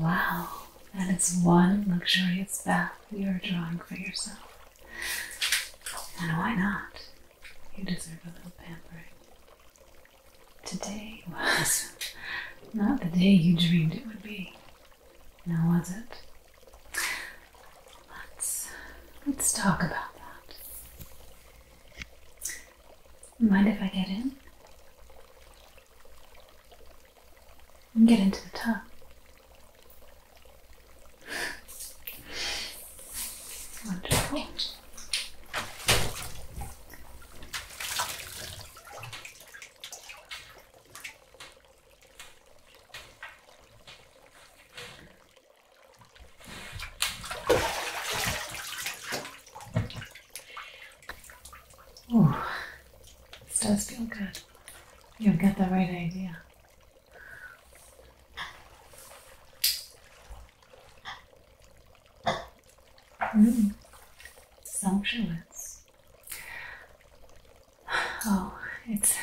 Wow, that is one luxurious bath you're drawing for yourself. And why not? You deserve a little pampering. Today was not the day you dreamed it would be. Now was it? Let's let's talk about that. Mind if I get in? And get into the tub. Oh, this does feel good. you have got the right idea. Mm. Sumptuous. Oh, it's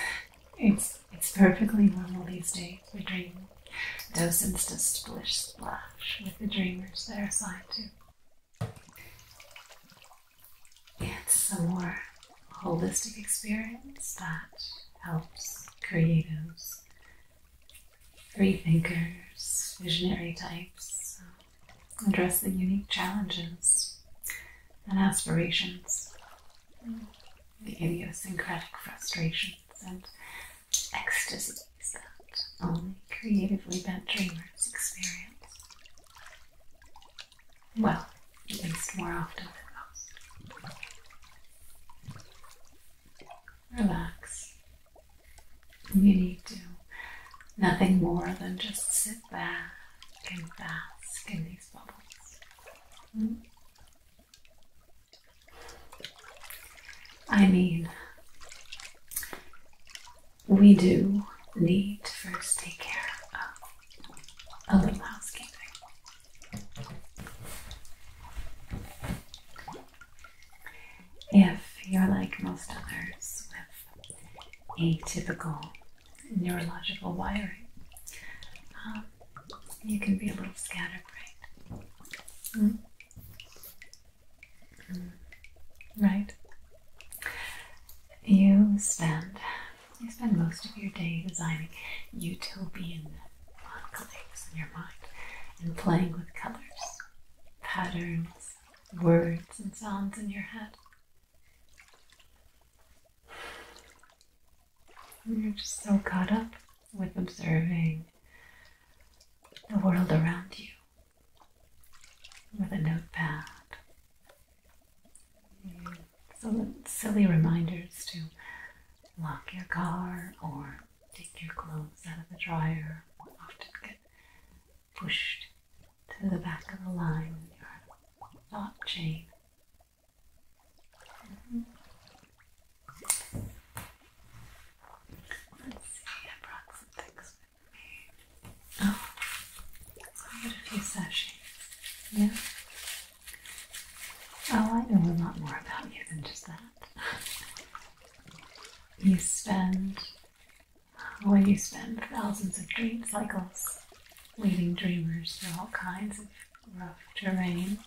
it's it's perfectly normal these days. We dream docents to splish splash with the dreamers there are assigned to. It's a more holistic experience that helps creatives free thinkers, visionary types, address the unique challenges and aspirations, the idiosyncratic frustrations and ecstasies that only creatively bent dreamers experience. Well, at least more often than most relax. You need to. Nothing more than just sit back and bask in these bubbles. Hmm? I mean, we do need to first take care of a little housekeeping. If you're like most others with atypical neurological wiring, um, you can be a little scatterbrained. Hmm? Hmm. Right? You spend you spend most of your day designing utopian on clicks in your mind and playing with colors, patterns, words, and sounds in your head. you're just so caught up with observing the world around you with a notepad. some silly reminders to lock your car or take your clothes out of the dryer often get pushed to the back of the line in your thought chain. mm Let's see, I brought some things with me. Oh, I got a few sachets. Yeah. Oh, I know a lot more about you than just that. You spend, when you spend thousands of dream cycles leading dreamers through all kinds of rough terrain.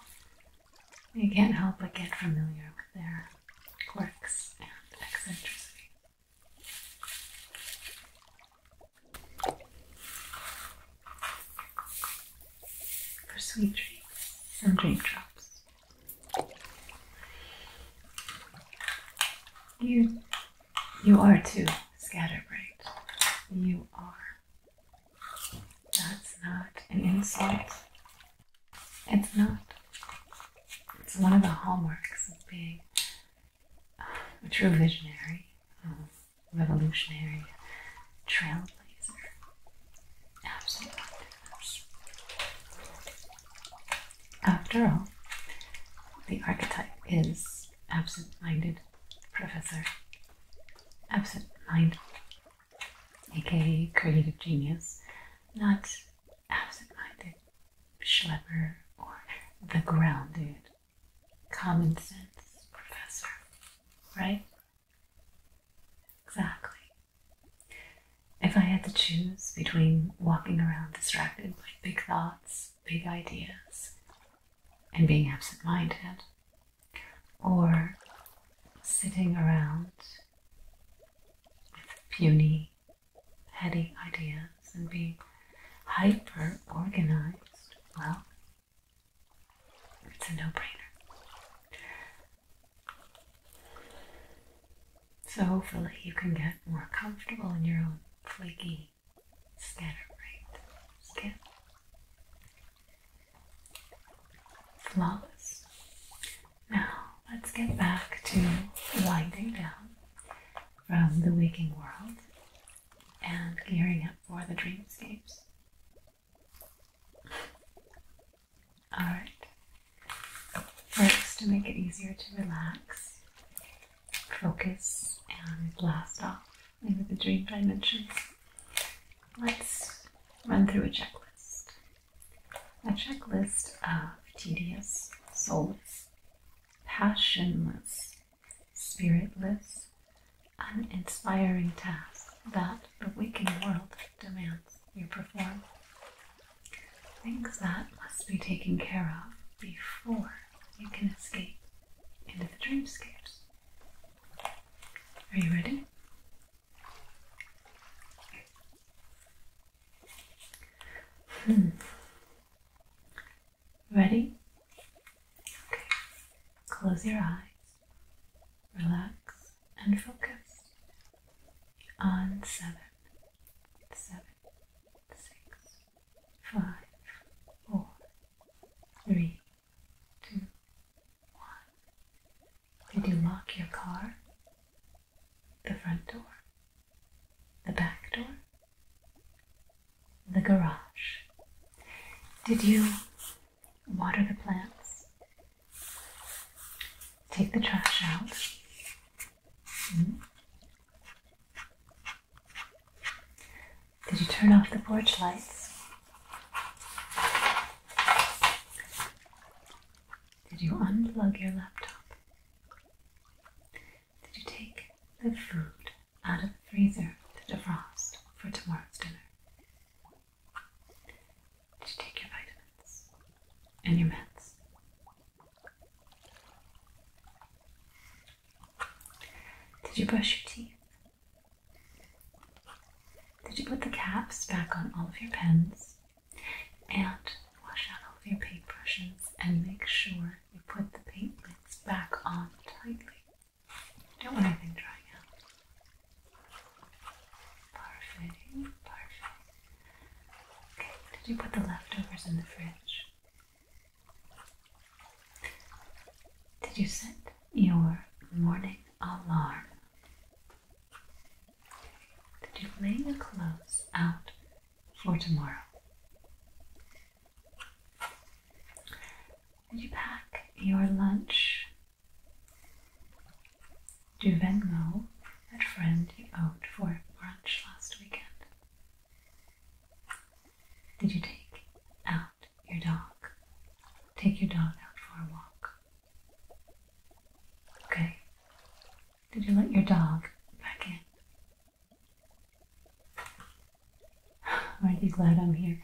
You can't help but get familiar with their quirks and eccentricity for sweet dreams and raindrops. You, you are too scatterbright. You are. That's not an insult. It's not. It's one of the hallmarks of being a true visionary. Um, revolutionary trailblazer. Absolute activist. After all, the archetype is absent minded professor. Absent minded, aka creative genius, not absent minded schlepper or the grounded common sense professor, right? Exactly. If I had to choose between walking around distracted by big thoughts, big ideas, and being absent minded, or sitting around with puny, petty ideas and being hyper organized, well, it's a no-brainer. So hopefully you can get more comfortable in your own flaky, scatterbrained skin. Flawless. Now let's get back to winding down from the waking world and gearing up for the dreamscapes. Alright. First, to make it easier to relax, focus, and blast off with the dream dimensions, let's run through a checklist. A checklist of tedious, soulless, passionless, spiritless, an inspiring task that the waking world demands you perform. Things that must be taken care of before you can escape into the dreamscapes. Are you ready? Hmm. Ready? Okay. Close your eyes. Relax and focus on seven, six, five, four, three, two, one. Did you lock your car? The front door, the back door, the garage. Did you water the plants, take the trash out. Mm-hmm. Did you turn off the porch lights? Did you unplug your laptop? Did you take the food out of the freezer to defrost for tomorrow's dinner? Did you take your vitamins and your meds? Did you brush your teeth? Did you put the caps back on all of your pens and wash out all of your paintbrushes and make sure you put the paint lids back on tightly? don't want anything drying out. Parfait, parfait. Okay, did you put the leftovers in the fridge? Did you set your morning alarm? Did you lay your clothes out for tomorrow? Did you pack your lunch do you then know that friend you owed for brunch last weekend? Did you take out your dog? Take your dog out for a walk. Okay. Did you let your dog back in? are you glad I'm here?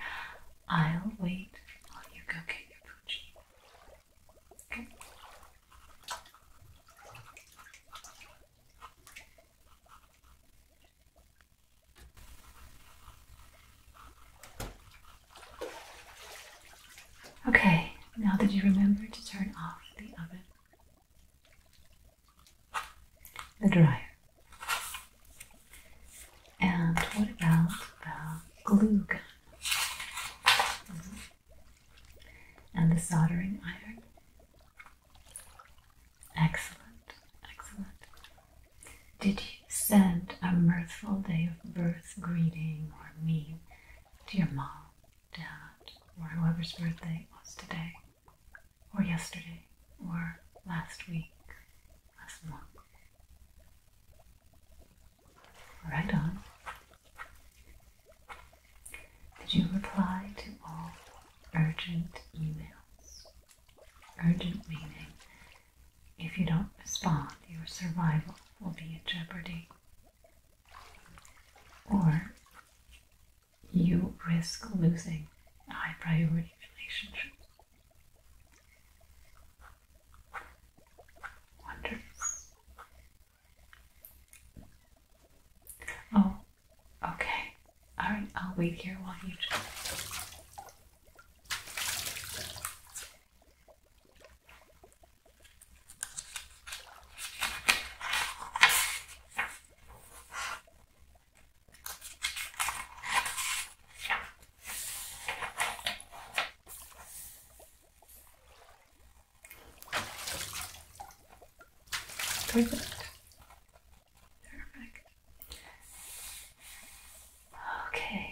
I'll wait while you go get your poochie. Okay. Okay, now that you remember to turn off the oven, the dryer, and what about the glue gun? Mm-hmm. And the soldering iron? Excellent, excellent. Did you send a mirthful day of birth greeting or meme to your mom, dad, or whoever's birthday it was today, or yesterday, or last week, last month? Right on. Did you reply to all urgent emails? Urgent meaning if you don't respond, your survival will be in jeopardy. Or you risk losing high priority relationships. Hundreds. Oh, okay. Alright, I'll wait here while you just. Go Perfect. Okay.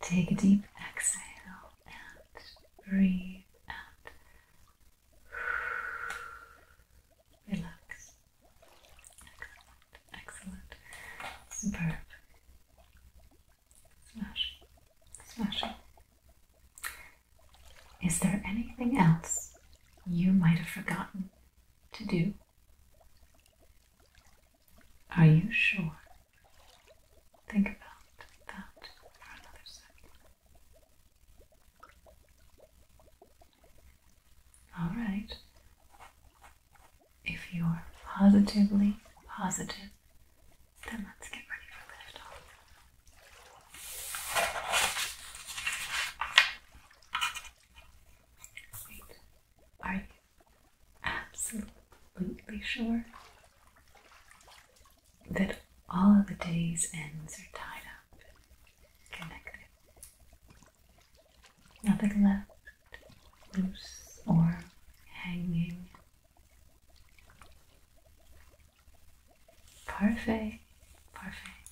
Take a deep exhale and breathe out. Relax. Excellent. Superb. Smashing. Smashing. Is there anything else you might have forgotten to do? Are you sure? Think about that for another second. All right. If you're positively positive, then let's get ready for liftoff. Wait, are you absolutely sure that all of the day's ends are tied up, connected? Nothing left loose or hanging. Perfect, perfect.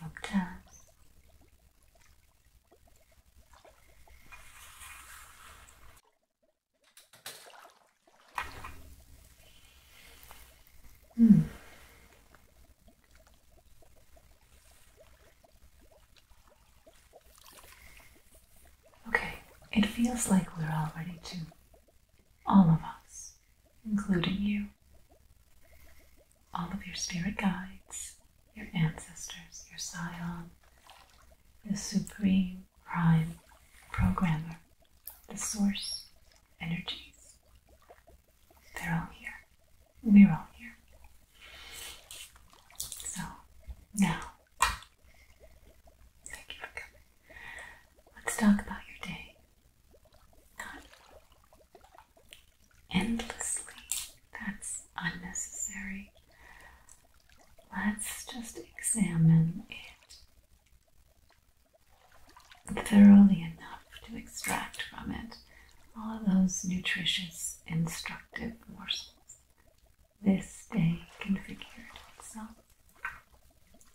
Well done. Hmm. Okay, it feels like we're all ready to. All of us, including you. All of your spirit guides, your ancestors, your sion, the supreme prime programmer, the source energies, they're all here. We're all here. So, now, thank you for coming. Let's talk about your day. Not endlessly. That's unnecessary. Let's just examine it thoroughly enough to extract from it all of those nutritious, instructive morsels this day configured itself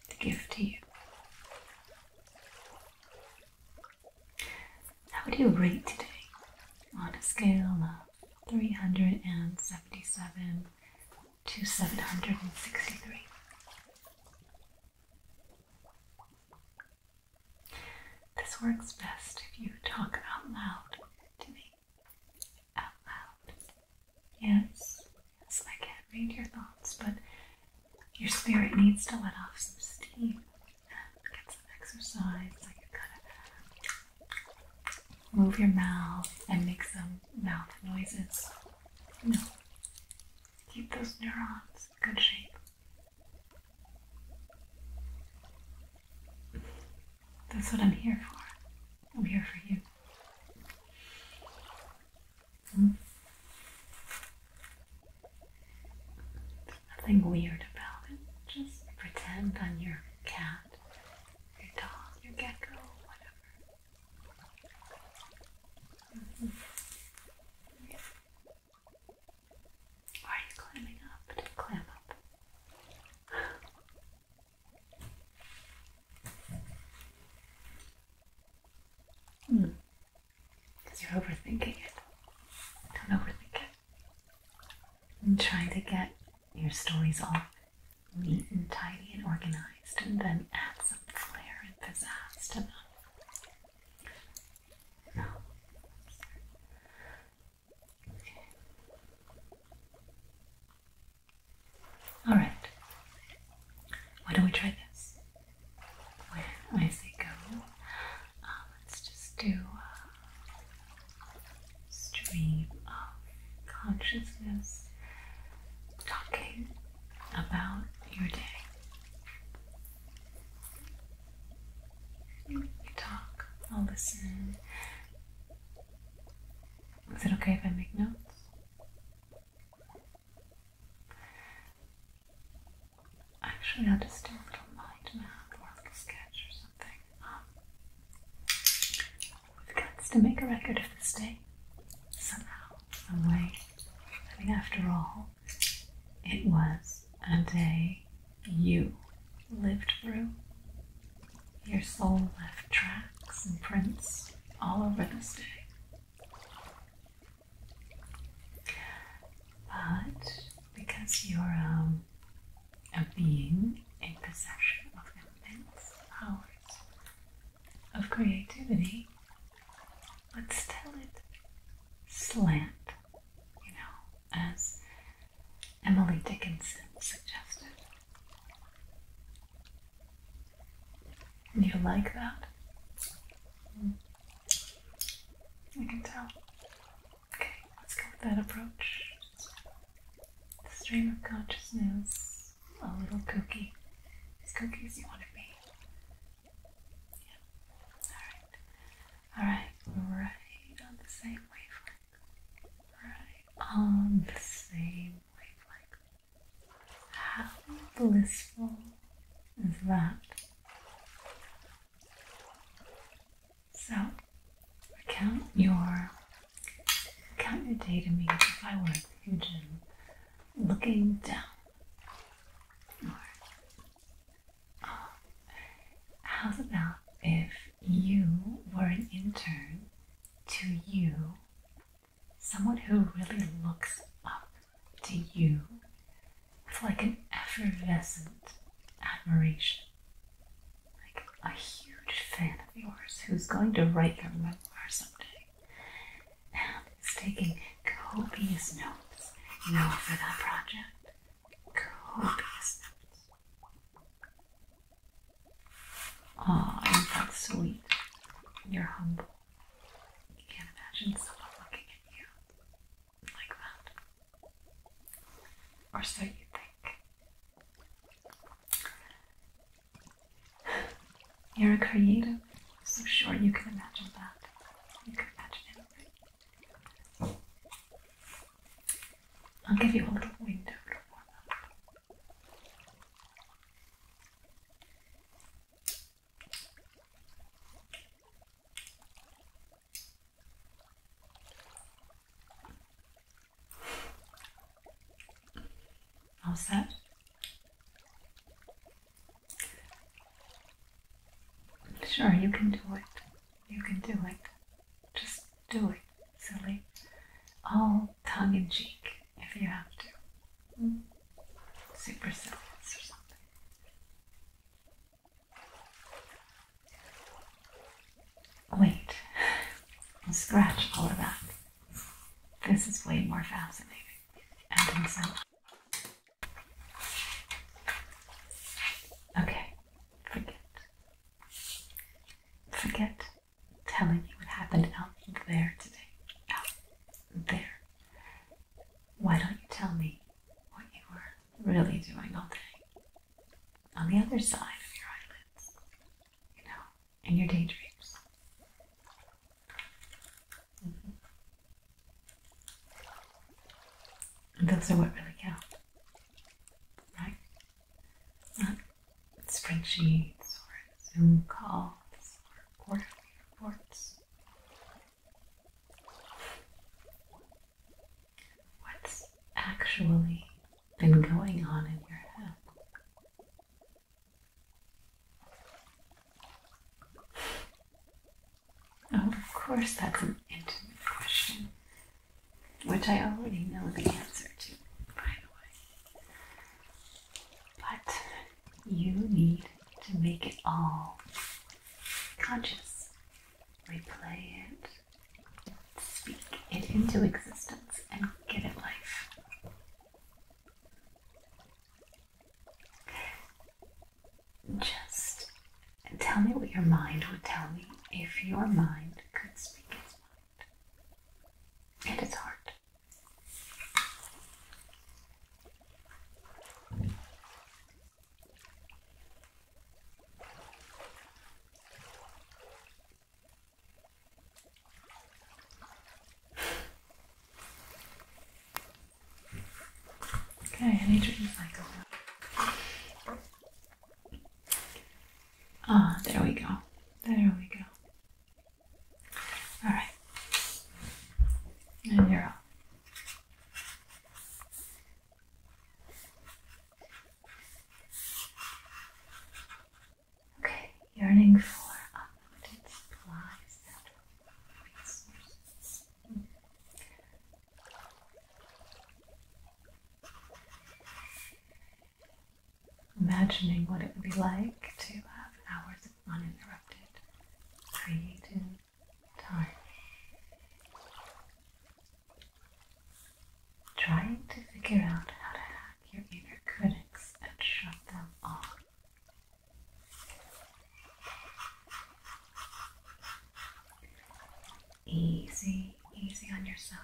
to give to you. How would you rate today on a scale of 377 to 763? This works best if you talk out loud to me. Out loud. Yes, yes, I can't read your thoughts, but your spirit needs to let off some steam. Get some exercise, like you gotta move your mouth and make some mouth noises. No. Keep those neurons in good shape. That's what I'm here for. I'm here for you. There's hmm? nothing weird about it. Just pretend I'm your cat, your dog, your gecko, whatever. Mm-hmm. Why are you climbing up? climb up. hmm. Because you're overthinking it. Don't overthink it. And am trying to get your stories all neat and tidy and organized and then add some flair and pizzazz to them. All right. Why don't we try this? When I say go, um, let's just do stream of consciousness talking about your day. You talk, I'll listen. Is it okay if I make notes? Actually, I'll just do a little mind map or like a sketch or something. Um, we've got to make a record of this day somehow, some way. I mean, after all, it was a day you lived through. Your soul left tracks and prints all over the day. But because you're um, a being in possession of immense powers of creativity, let's tell it slant, you know, as Emily Dickinson suggested. you like that? I mm. can tell. Okay, let's go with that approach. The stream of consciousness, a little kooky, as kooky as you want to be. Yeah. Alright. Alright, right on the same wavelength. Right on the same wavelength. How blissful is that? So count your count your day to me if I were a pigeon looking down or, how's about if you were an intern to you, someone who really looks up to you with like an effervescent admiration? Like a huge fan of yours who's going to write your memoir someday and he's taking copious notes you know, for that project. Copious notes. Oh, is sweet? You're humble. You can't imagine someone looking at you like that. Or so you think. You're a creative. So sure you can imagine that. You can imagine anything. I'll give you a little window to warm All set. Sure, you can do it. You can do it. Just do it, silly. All tongue in cheek if you have to. Mm. Super silly or something. Wait, scratch all of that. This is way more fascinating Okay, forget. Forget telling me what happened out there today. Out there. Why don't you tell me what you were really doing all day? On the other side of your eyelids, you know, in your daydreams. And those are what really count, right? Not spring or Zoom calls or quarterly reports. What's actually been going on in your head? Of course, that's an intimate question, which I already know the answer to, by the way. But you need to make it all conscious, replay it, speak it into existence, and give it life. Just tell me what your mind would tell me if your mind could speak its mind and its heart. Okay, I need to recycle that. Ah, there we go. There we go. Alright. And you're Okay, yearning for unlimited supplies Imagining what it would be like to have hours of uninterrupted creative time. Trying to figure out how to hack your inner critics and shut them off. Easy, easy on yourself.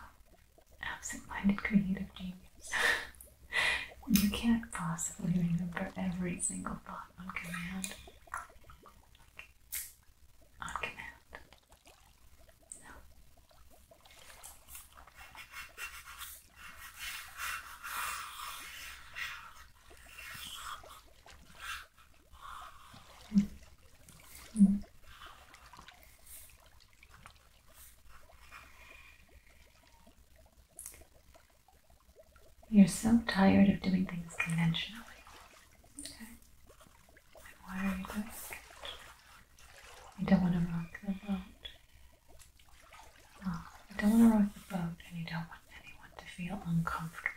Absent minded creative genius. you can't possibly remember every single thought on command. On command. No. You're so tired of doing things conventionally. Okay. why are you doing it? You don't want to rock the boat. Oh, I don't want to rock the boat, and you don't want anyone to feel uncomfortable.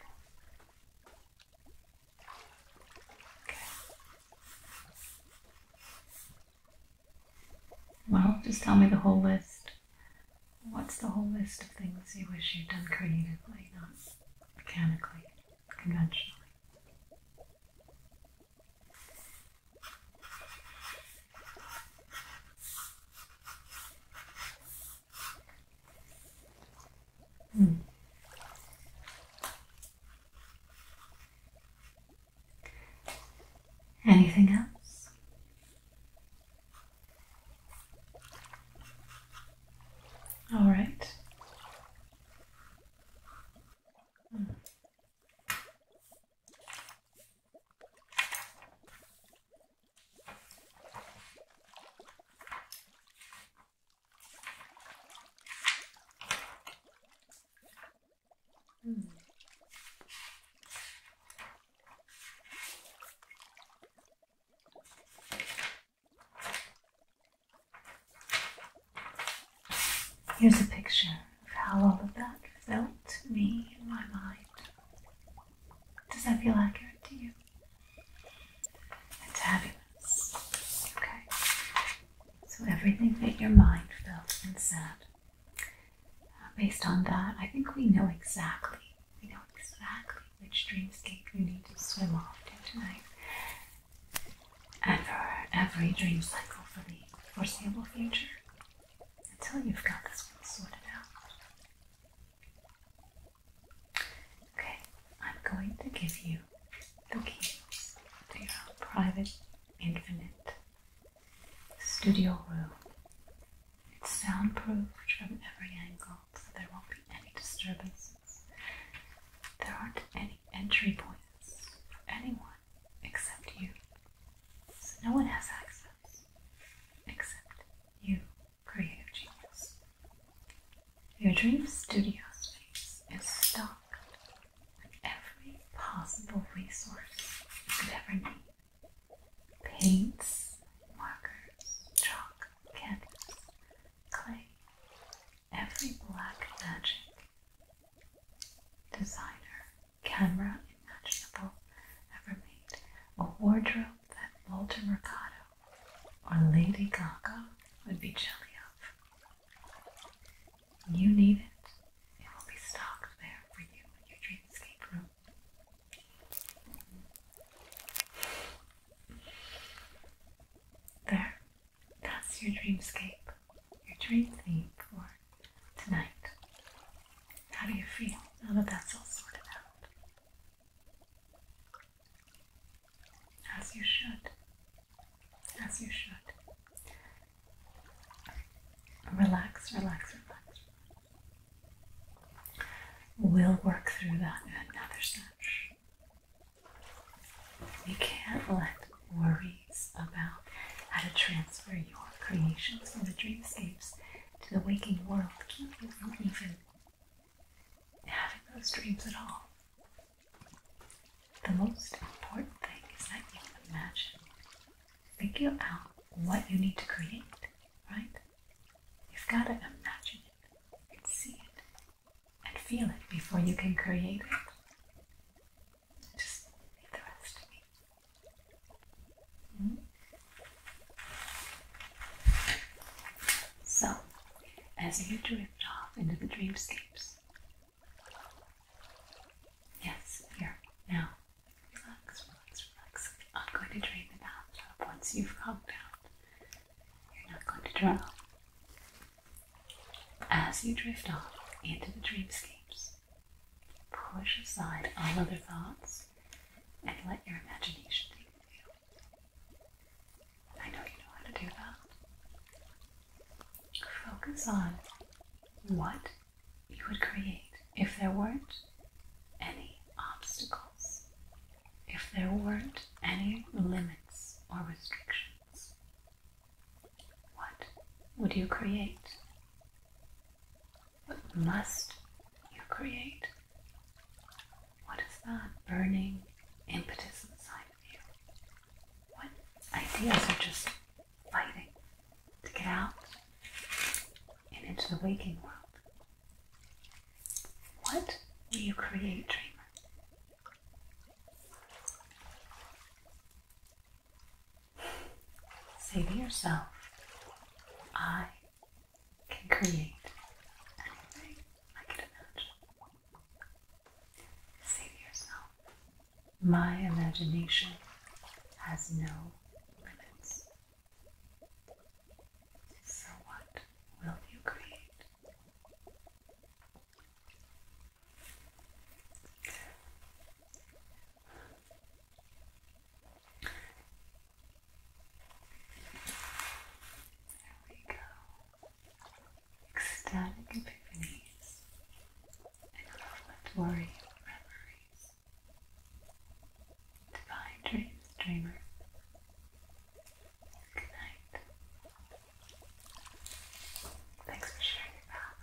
Okay. Well, just tell me the whole list. What's the whole list of things you wish you'd done creatively, not mechanically, conventionally? Mm. Anything else? All right. Hmm. Here's a picture of how all of that felt to me in my mind. Does that feel accurate to you? It's fabulous. Okay. So everything that your mind felt and said, uh, based on that, I think we know exactly. We know exactly which dreamscape we need to swim off to tonight. And for every dream cycle for the foreseeable future, until you've got this one sorted out. Okay, I'm going to give you the keys to your private, infinite studio room. It's soundproofed from every angle, so there won't be any disturbances. There aren't any entry points for anyone except you. So no one has access except you, creative genius. Your dream studio space is stocked with every possible resource you could ever need. Paints, markers, chalk, canvas, clay, every black magic designer camera imaginable ever made, a wardrobe that Walter Mercado or Lady Gaga would be jelly of. You need it, it will be stocked there for you in your dreamscape room. There, that's your dreamscape, your dream theme for tonight. How do you feel now that that's all sorted out? As you should. As you should. Relax, relax, relax. We'll work through that in another stretch. You can't let worries about how to transfer your creations from the dreamscapes to the waking world even having those dreams at all. The most important thing is that you imagine. Figure out what you need to create, right? You've got to imagine it and see it and feel it before you can create it. Just the rest so, as you drift off into the dreamscapes, yes, here, now, relax, relax, relax. I'm going to drain the bathtub once you've calmed down. You're not going to drown. As you drift off into the dreamscapes, push aside all other thoughts and let your imagination take the I know you know how to do that. Focus on what you would create if there weren't any obstacles, if there weren't any limits or restrictions. What would you create? What must you create? What is that burning impetus inside of you? What ideas are just fighting to get out and into the waking world? What do you create, dreamer? Say to yourself, I can create anything I can imagine. Say to yourself, my imagination has no limits. So, what will you create? There we go. Ecstatic epiphanies and revelatory Divine dreams, dreamer. Good night. Thanks for sharing your bath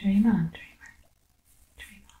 Dream on, dreamer, dream on.